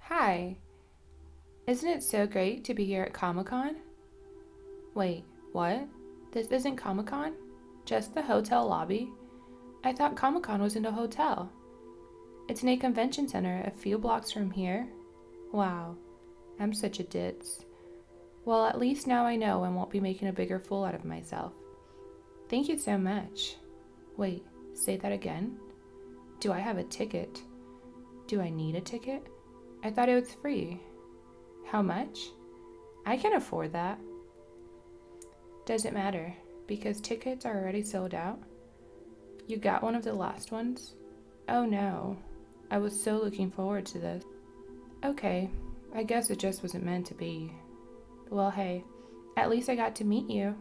Hi. Isn't it so great to be here at Comic Con? Wait, what? This isn't Comic Con? Just the hotel lobby? I thought Comic Con was in a hotel. It's in a convention center a few blocks from here. Wow, I'm such a ditz. Well, at least now I know I won't be making a bigger fool out of myself. Thank you so much. Wait, say that again? Do I have a ticket? Do I need a ticket? I thought it was free. How much? I can afford that. does it matter, because tickets are already sold out. You got one of the last ones? Oh no, I was so looking forward to this. Okay, I guess it just wasn't meant to be. Well, hey, at least I got to meet you.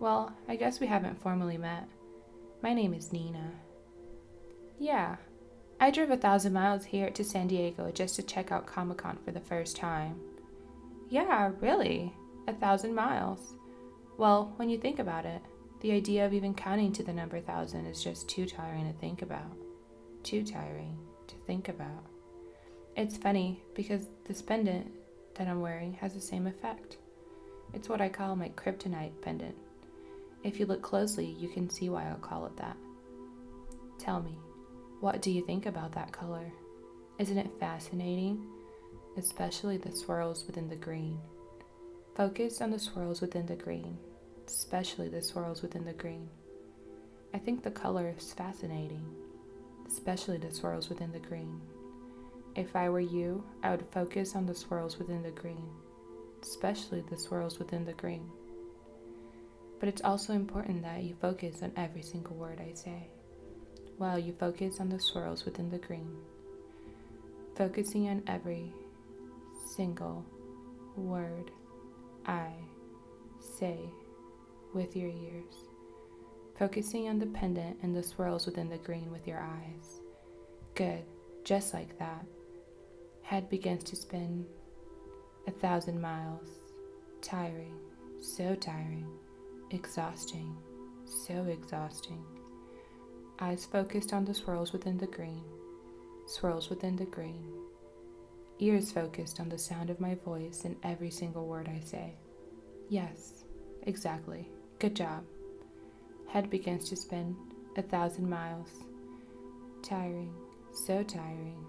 Well, I guess we haven't formally met. My name is Nina. Yeah, I drove a thousand miles here to San Diego just to check out Comic Con for the first time. Yeah, really? A thousand miles? Well, when you think about it, the idea of even counting to the number thousand is just too tiring to think about. Too tiring to think about. It's funny because this pendant that I'm wearing has the same effect. It's what I call my kryptonite pendant. If you look closely, you can see why i call it that. Tell me, what do you think about that color? Isn't it fascinating? Especially the swirls within the green. Focused on the swirls within the green, especially the swirls within the green. I think the color is fascinating especially the swirls within the green. If I were you, I would focus on the swirls within the green, especially the swirls within the green. But it's also important that you focus on every single word I say, while you focus on the swirls within the green, focusing on every single word I say with your ears, focusing on the pendant and the swirls within the green with your eyes. Good, just like that. Head begins to spin a thousand miles. Tiring, so tiring, exhausting, so exhausting. Eyes focused on the swirls within the green, swirls within the green. Ears focused on the sound of my voice and every single word I say. Yes, exactly. Good job. Head begins to spin a thousand miles. Tiring, so tiring.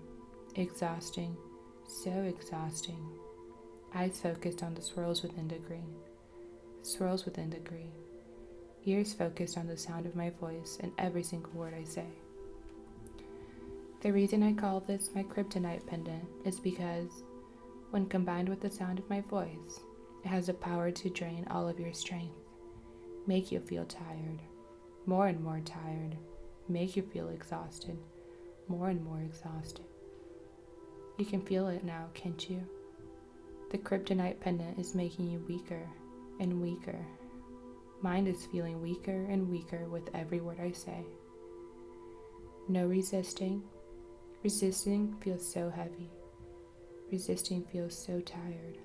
Exhausting, so exhausting. Eyes focused on the swirls within the green. Swirls within the green. Ears focused on the sound of my voice and every single word I say. The reason I call this my kryptonite pendant is because when combined with the sound of my voice, it has the power to drain all of your strength, make you feel tired, more and more tired, make you feel exhausted, more and more exhausted. You can feel it now, can't you? The kryptonite pendant is making you weaker and weaker. Mind is feeling weaker and weaker with every word I say. No resisting. Resisting feels so heavy. Resisting feels so tired,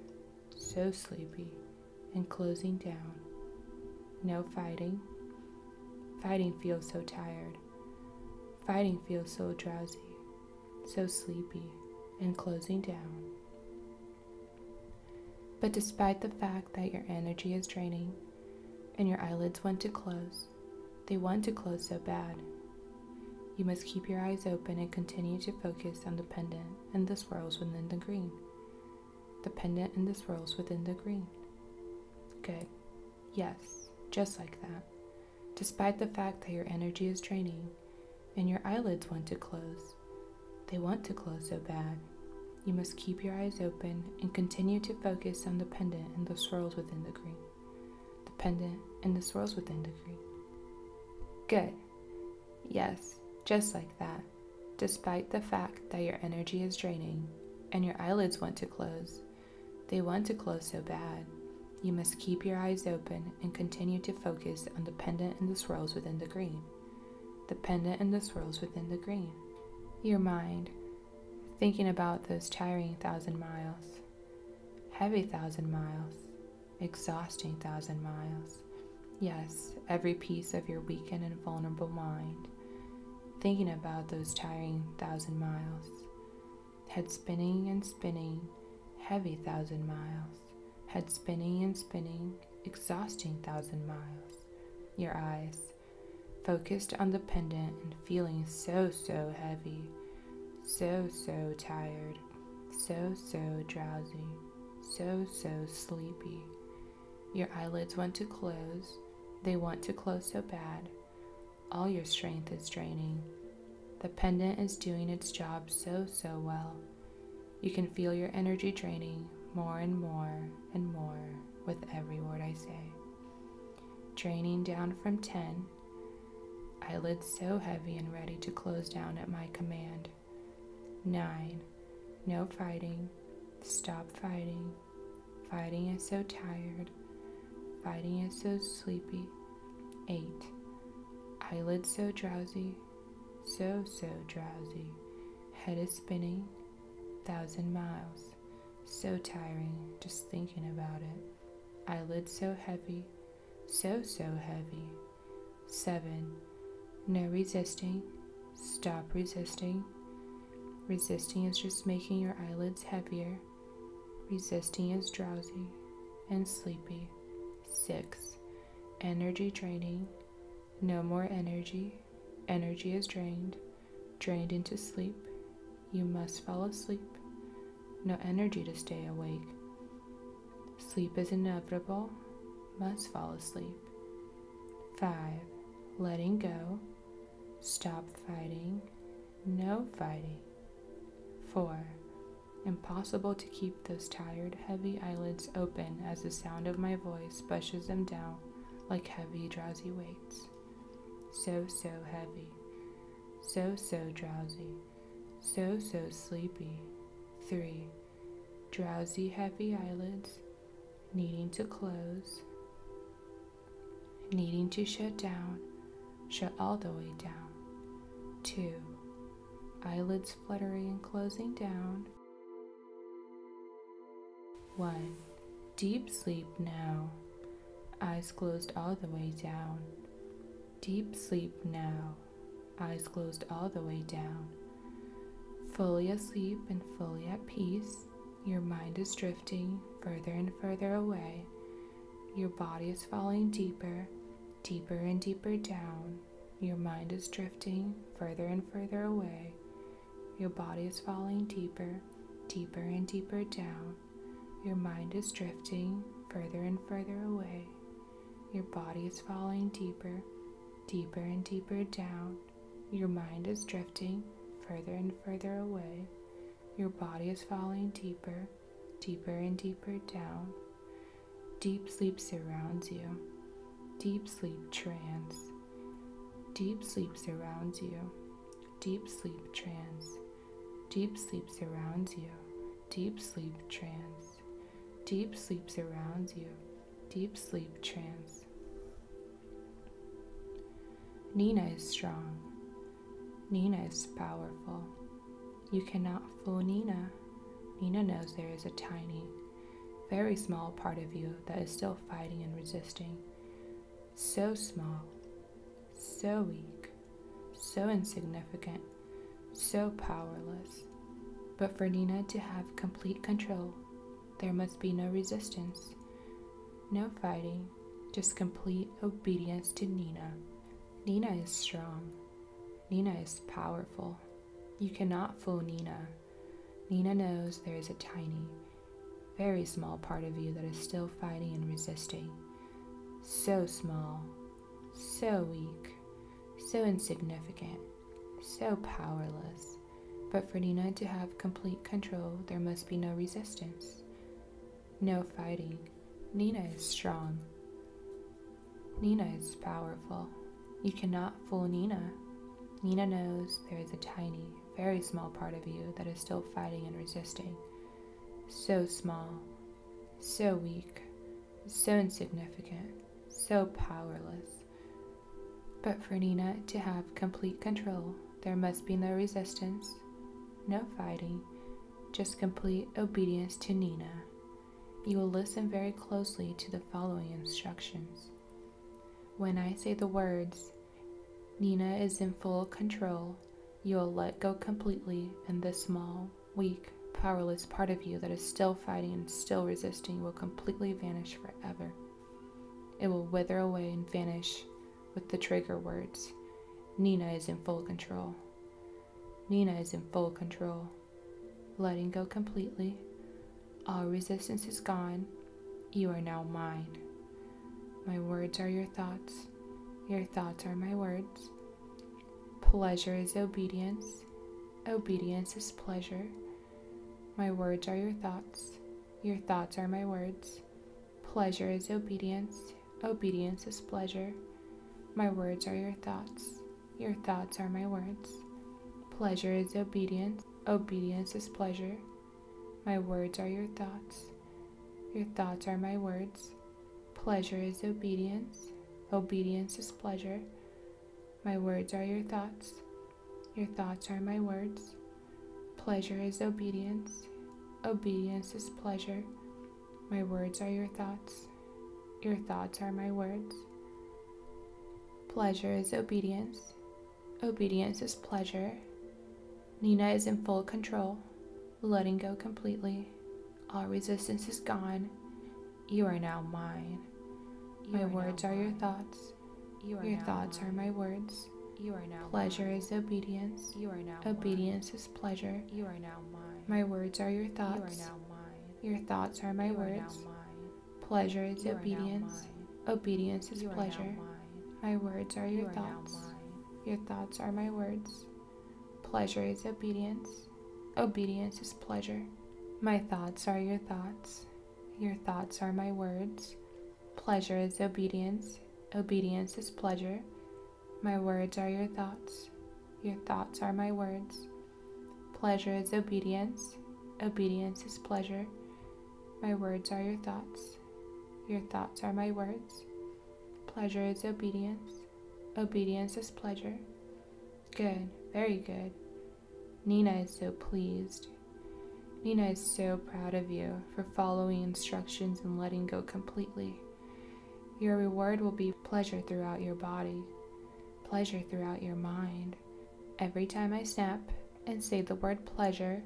so sleepy, and closing down. No fighting. Fighting feels so tired. Fighting feels so drowsy, so sleepy, and closing down. But despite the fact that your energy is draining, and your eyelids want to close. They want to close so bad. You must keep your eyes open and continue to focus on the pendant and the swirls within the green. The pendant and the swirls within the green. Good. Yes, just like that. Despite the fact that your energy is draining and your eyelids want to close, they want to close so bad. You must keep your eyes open and continue to focus on the pendant and the swirls within the green. The pendant and the swirls within the green. Good. Yes, just like that. Despite the fact that your energy is draining and your eyelids want to close, they want to close so bad. You must keep your eyes open and continue to focus on the pendant and the swirls within the green. The pendant and the swirls within the green. Your mind, thinking about those tiring thousand miles, heavy thousand miles, exhausting thousand miles. Yes, every piece of your weakened and vulnerable mind, thinking about those tiring thousand miles, head spinning and spinning, heavy thousand miles, head spinning and spinning, exhausting thousand miles, your eyes focused on the pendant and feeling so, so heavy, so, so tired, so, so drowsy, so, so sleepy. Your eyelids want to close, they want to close so bad. All your strength is draining. The pendant is doing its job so, so well. You can feel your energy draining more and more and more with every word I say. Draining down from 10, eyelids so heavy and ready to close down at my command. 9. No fighting. Stop fighting. Fighting is so tired. Fighting is so sleepy. 8. Eyelids so drowsy. So, so drowsy. Head is spinning thousand miles. So tiring just thinking about it. Eyelids so heavy, so, so heavy. Seven, no resisting, stop resisting. Resisting is just making your eyelids heavier. Resisting is drowsy and sleepy. Six, energy draining, no more energy, energy is drained, drained into sleep. You must fall asleep. No energy to stay awake. Sleep is inevitable, must fall asleep. 5. Letting go. Stop fighting. No fighting. 4. Impossible to keep those tired, heavy eyelids open as the sound of my voice pushes them down like heavy, drowsy weights. So, so heavy, so, so drowsy, so, so sleepy. 3. Drowsy, heavy eyelids, needing to close, needing to shut down, shut all the way down. 2. Eyelids fluttering and closing down, 1. Deep sleep now. Eyes closed all the way down. Deep sleep now. Eyes closed all the way down. Fully asleep and fully at peace, your mind is drifting further and further away. Your body is falling deeper, deeper and deeper down. Your mind is drifting further and further away. Your body is falling deeper, deeper and deeper down. Your mind is drifting further and further away. Your body is falling deeper, deeper and deeper down. Your mind is drifting further and further away. Your body is falling deeper, deeper and deeper down. Deep sleep surrounds you. Deep sleep trance. Deep sleep surrounds you. Deep sleep trance. Deep sleep surrounds you. Deep sleep trance. Deep sleep surrounds you. Deep sleep trance. Nina is strong. Nina is powerful. You cannot fool Nina. Nina knows there is a tiny, very small part of you that is still fighting and resisting. So small, so weak, so insignificant, so powerless. But for Nina to have complete control, there must be no resistance, no fighting, just complete obedience to Nina. Nina is strong. Nina is powerful. You cannot fool Nina. Nina knows there is a tiny, very small part of you that is still fighting and resisting. So small, so weak, so insignificant, so powerless. But for Nina to have complete control, there must be no resistance, no fighting. Nina is strong. Nina is powerful. You cannot fool Nina. Nina knows there is a tiny, very small part of you that is still fighting and resisting. So small, so weak, so insignificant, so powerless. But for Nina to have complete control, there must be no resistance, no fighting, just complete obedience to Nina. You will listen very closely to the following instructions. When I say the words, Nina is in full control, you'll let go completely, and this small, weak, powerless part of you that is still fighting and still resisting will completely vanish forever. It will wither away and vanish with the trigger words Nina is in full control. Nina is in full control letting go completely. All resistance is gone. You are now mine. My words are your thoughts. Your thoughts are my words. Pleasure is obedience. Obedience is pleasure. My words are your thoughts. Your thoughts are my words. Pleasure is obedience. Obedience is pleasure. My words are your thoughts. Your thoughts are my words. Pleasure is obedience. Obedience is pleasure. My words are your thoughts. Your thoughts are my words. Pleasure is obedience. Obedience is pleasure. My words are your thoughts. Your thoughts are my words. Pleasure is obedience. Obedience is pleasure. My words are your thoughts. Your thoughts are my words. Pleasure is obedience. Obedience is pleasure. Nina is in full control, letting go completely. All resistance is gone. You are now mine. my words are your thoughts. your thoughts are my words. You are now pleasure is obedience. You are now obedience is pleasure. You are now mine. My words are your thoughts. are now mine. Your thoughts are my words. Pleasure is obedience. Obedience is pleasure. My words are your thoughts. your thoughts are my words. Pleasure is obedience. Obedience is pleasure. My thoughts are your thoughts. Your thoughts are my words. Pleasure is obedience. Obedience is pleasure. My words are your thoughts. Your thoughts are my words. Pleasure is obedience, obedience is pleasure. My words are your thoughts, your thoughts are my words. Pleasure is obedience, obedience is pleasure. Good, very good. Nina is so pleased. Nina is so proud of you for following instructions and letting go completely. Your reward will be pleasure throughout your body pleasure throughout your mind. Every time I snap and say the word pleasure,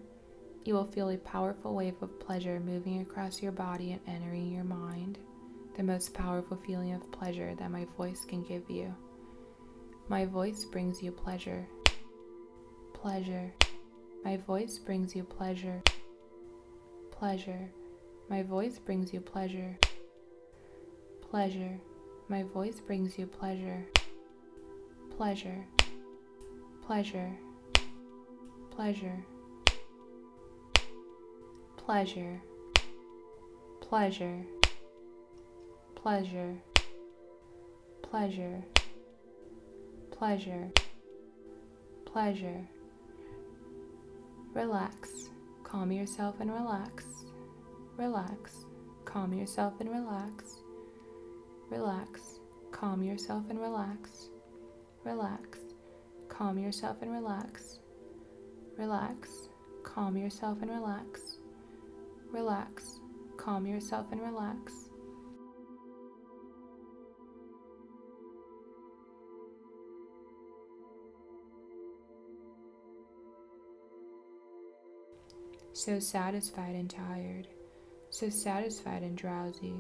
you will feel a powerful wave of pleasure moving across your body and entering your mind, the most powerful feeling of pleasure that my voice can give you. My voice brings you pleasure. Pleasure. My voice brings you pleasure. Pleasure. My voice brings you pleasure. Pleasure. My voice brings you pleasure. Pleasure. Pleasure. Pleasure. Pleasure. Pleasure. Pleasure. Pleasure. Pleasure. Relax. Calm yourself and relax. Relax. Calm yourself and relax. Relax. Calm yourself and relax. Relax. Calm yourself and relax. Relax. Calm yourself and relax. Relax. Calm yourself and relax. So satisfied and tired, so satisfied and drowsy,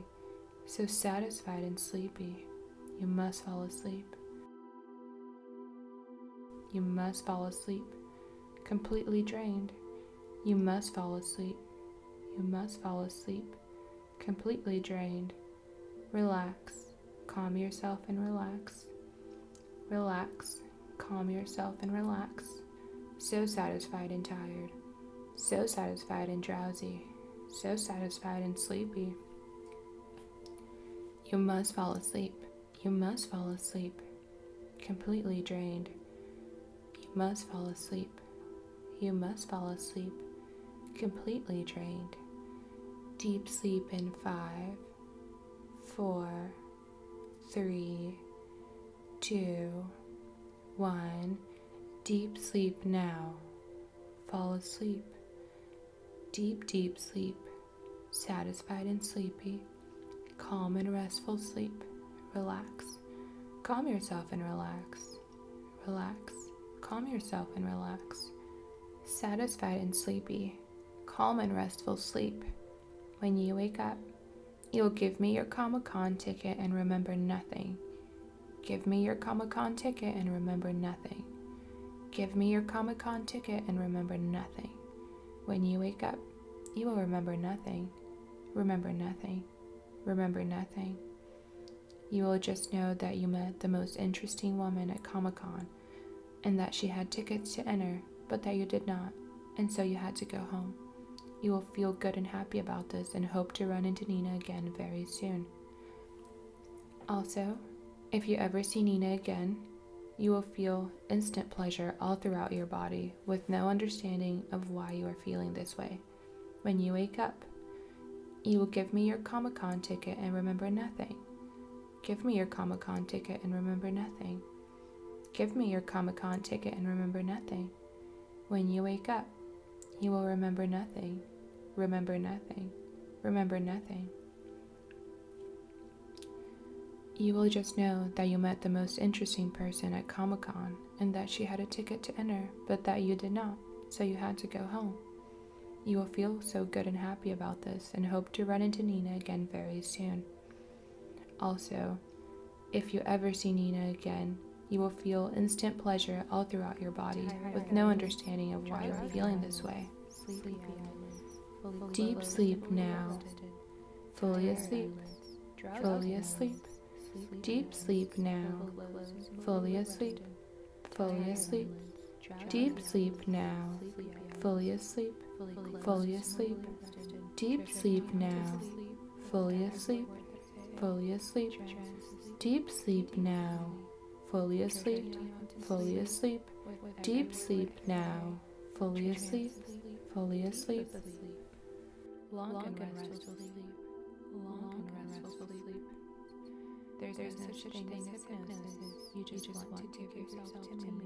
so satisfied and sleepy, you must fall asleep. You must fall asleep, completely drained. You must fall asleep. You must fall asleep, completely drained. Relax, calm yourself and relax. Relax, calm yourself and relax. So satisfied and tired. So satisfied and drowsy. So satisfied and sleepy. You must fall asleep. You must fall asleep. Completely drained. You must fall asleep. You must fall asleep. Completely drained. Deep sleep in five, four, three, two, one. Deep sleep now. Fall asleep. Deep, deep sleep. Satisfied and sleepy. Calm and restful sleep. Relax. Calm yourself and relax. Relax. Calm yourself and relax satisfied and sleepy, calm and restful sleep. When you wake up, you will give me your Comic Con ticket and remember nothing. Give me your Comic Con ticket and remember nothing. Give me your Comic Con ticket and remember nothing. When you wake up, you will remember nothing. Remember nothing. Remember nothing. You will just know that you met the most interesting woman at Comic Con and that she had tickets to enter, but that you did not, and so you had to go home. You will feel good and happy about this and hope to run into Nina again very soon. Also, if you ever see Nina again, you will feel instant pleasure all throughout your body with no understanding of why you are feeling this way. When you wake up, you will give me your Comic Con ticket and remember nothing. Give me your Comic Con ticket and remember nothing. Give me your Comic Con ticket and remember nothing. When you wake up, you will remember nothing, remember nothing, remember nothing. You will just know that you met the most interesting person at Comic Con and that she had a ticket to enter, but that you did not, so you had to go home. You will feel so good and happy about this and hope to run into Nina again very soon. Also, if you ever see Nina again, you will feel instant pleasure all throughout your body with no understanding of why you are feeling this way. Deep sleep now. Fully asleep. Fully asleep. Deep sleep now. Fully asleep fully asleep, deep sleep now, fully asleep, fully asleep, deep sleep now, fully asleep, fully asleep, deep sleep now, fully asleep, fully asleep, deep sleep now, fully asleep, fully asleep, there's, no, such thing, thing as hypnosis. You just, want, to give yourself, to, me.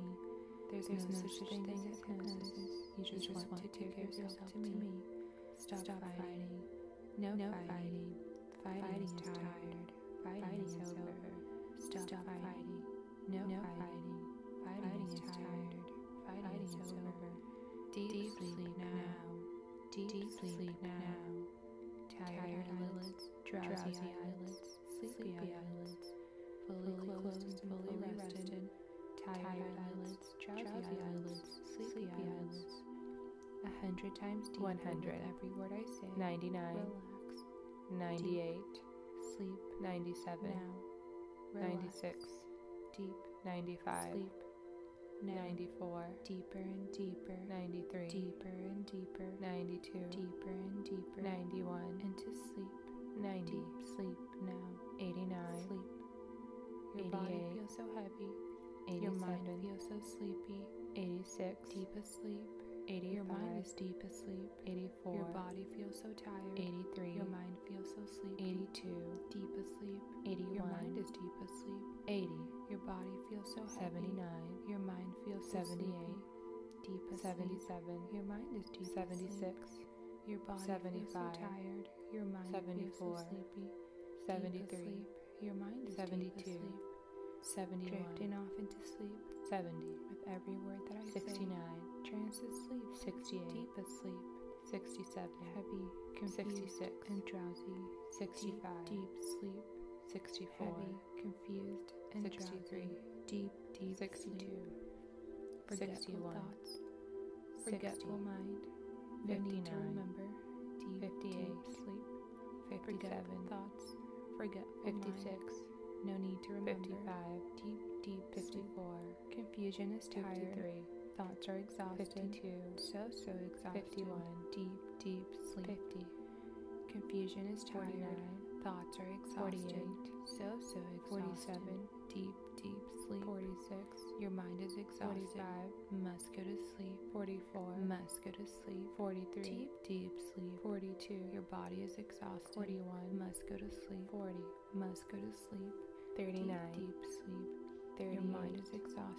There's, There's no, such thing as hypnosis. You just, want, to give yourself, to me. Stop, fighting. No, no fighting. Fighting, is tired. Fighting, is, over. Stop, fighting. No, no fighting. Fighting, is tired. Fighting, is over. Deep, deep sleep now. Deep, deep sleep now tired, tired eyelids, drowsy, drowsy eyelids, sleepy eyelids, fully closed fully rested, tired eyelids, drowsy eyelids, sleepy eyelids. A hundred times deep. One hundred. Every word I say. Ninety-nine. Relax. Ninety-eight. Sleep. Ninety-seven. Ninety-six. Deep. Ninety-five. Sleep. 94 deeper and deeper 93 deeper and deeper 92 deeper and deeper 91 into sleep 90 sleep now 89 sleep your 88 body feels so heavy your mind feels so sleepy 86 deep asleep 80 your mind is deep asleep 84 your body feels so tired 83 your mind feels so sleepy 82 deep asleep 81 your mind is deep asleep 80 your body feels 79. Your mind feels 78. Deep 77. Your mind is 76. Your body is 75. tired. Your mind 74. feels sleepy. 73. Your mind is 72. Deep 71. Drifting off into sleep. 70. With every word that I say. 69. Transit sleep. 68. Deep asleep. 67. Heavy. 66. And drowsy. 65. deep sleep. 64, heavy, confused, 63, drowsy, deep, deep 62, sleep, forgetful thoughts, forgetful 60, mind, 59, to remember, deep, 58, sleep, 57, forgetful thoughts, forgetful 56, mind, no need to remember, 55, deep, deep 54, confusion is 53, tired, thoughts are exhausted. 52. So, so exhausted. 51. Deep, deep sleep. 50. Confusion is tired. 49. Thoughts are exhausted. 48. So, so exhausted. 47. Deep, deep sleep. 46. Your mind is exhausted. 45. Must go to sleep. 44. Must go to sleep. 43. Deep, deep sleep. 42. Your body is exhausted. 41. Must go to sleep. 40. Must go to sleep. 39. Deep, deep sleep. 30. Your mind is exhausted.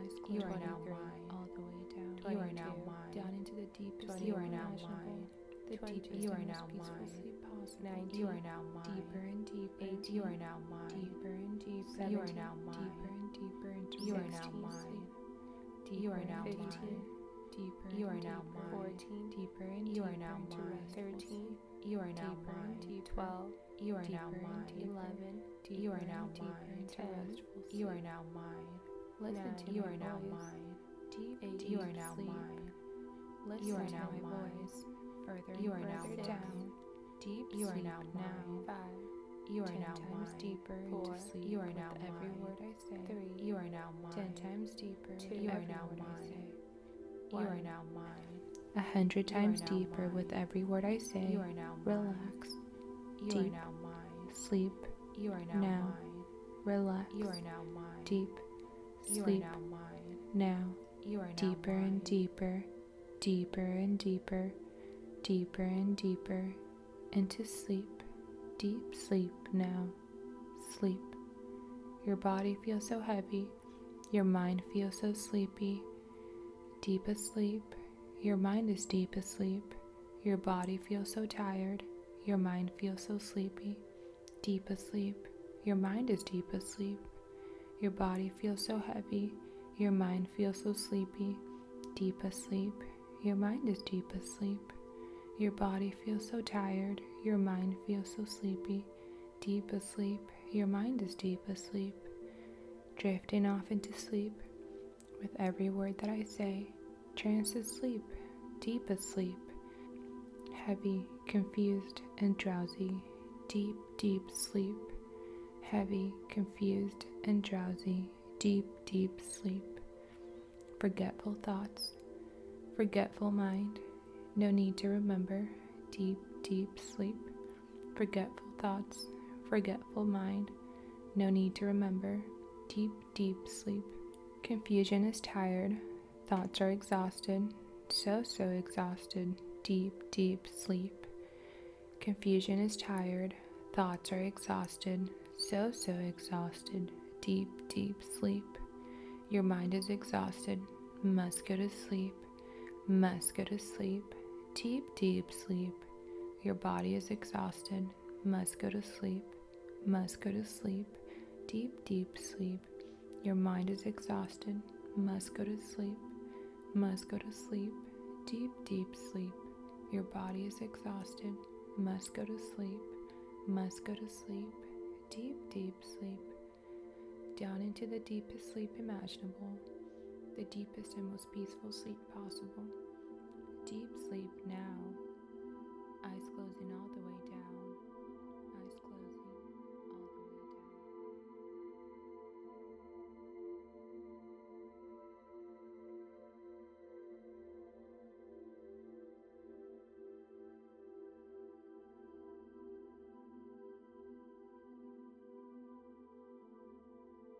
Eyes you are now mine. All the way down. You are now mine. Down into the deepest. You are now mine. The deepest. You are now mine. Nine. You are now mine. Deeper and deeper. Eight. You are now mine. Deeper and deeper. You are now mine. Deeper and deeper. You are now mine. You are now mine. Deeper. You are now mine. Fourteen. Deeper and deeper. You are now mine. Thirteen. You are now mine. Twelve. You are now mine. Eleven. Deeper you are now mine. Rest, we'll you are now mine. Listen now, to you are now mine. Deep, deep you are now mine. Listen you are to now my mine. voice. Further you are now down. down. Deep you are now mine. Five. You are ten now times mine. deeper Four, into sleep. You are now mine. every word I say. Three. You are now mine. Ten times deeper. Two. You are now mine. You are now mine. A hundred times deeper mine. with every word I say. You are now mine. Relax. You deep. now mine. Sleep. You are now, now. Relax. You are now mine. Deep. sleep. now You are deeper and deeper, deeper and deeper, deeper and deeper into sleep. Deep sleep now. Sleep. Your body feels so heavy. Your mind feels so sleepy. Deep asleep. Your mind is deep asleep. Your body feels so tired. Your mind feels so sleepy. Deep asleep. Your mind is deep asleep. Your body feels so heavy. Your mind feels so sleepy. Deep asleep. Your mind is deep asleep. Your body feels so tired. Your mind feels so sleepy. Deep asleep. Your mind is deep asleep. Drifting off into sleep. With every word that I say, trance is sleep, deep asleep, heavy, confused, and drowsy, deep, deep sleep, heavy, confused, and drowsy, deep, deep sleep. Forgetful thoughts, forgetful mind, no need to remember, deep, deep sleep. Forgetful thoughts, forgetful mind, no need to remember. Deep, deep sleep. Confusion is tired, thoughts are exhausted, so, so exhausted. Deep, deep sleep. Confusion is tired, thoughts are exhausted, so, so exhausted. Deep, deep sleep. Your mind is exhausted, must go to sleep, must go to sleep. Deep, deep sleep. Your body is exhausted, must go to sleep, must go to sleep, deep, deep sleep. Your mind is exhausted, must go to sleep, must go to sleep, deep, deep sleep. Your body is exhausted, must go to sleep, must go to sleep, deep, deep sleep. Down into the deepest sleep imaginable, the deepest and most peaceful sleep possible. Deep sleep now. Eyes closing all the way down. Eyes closing all the way down.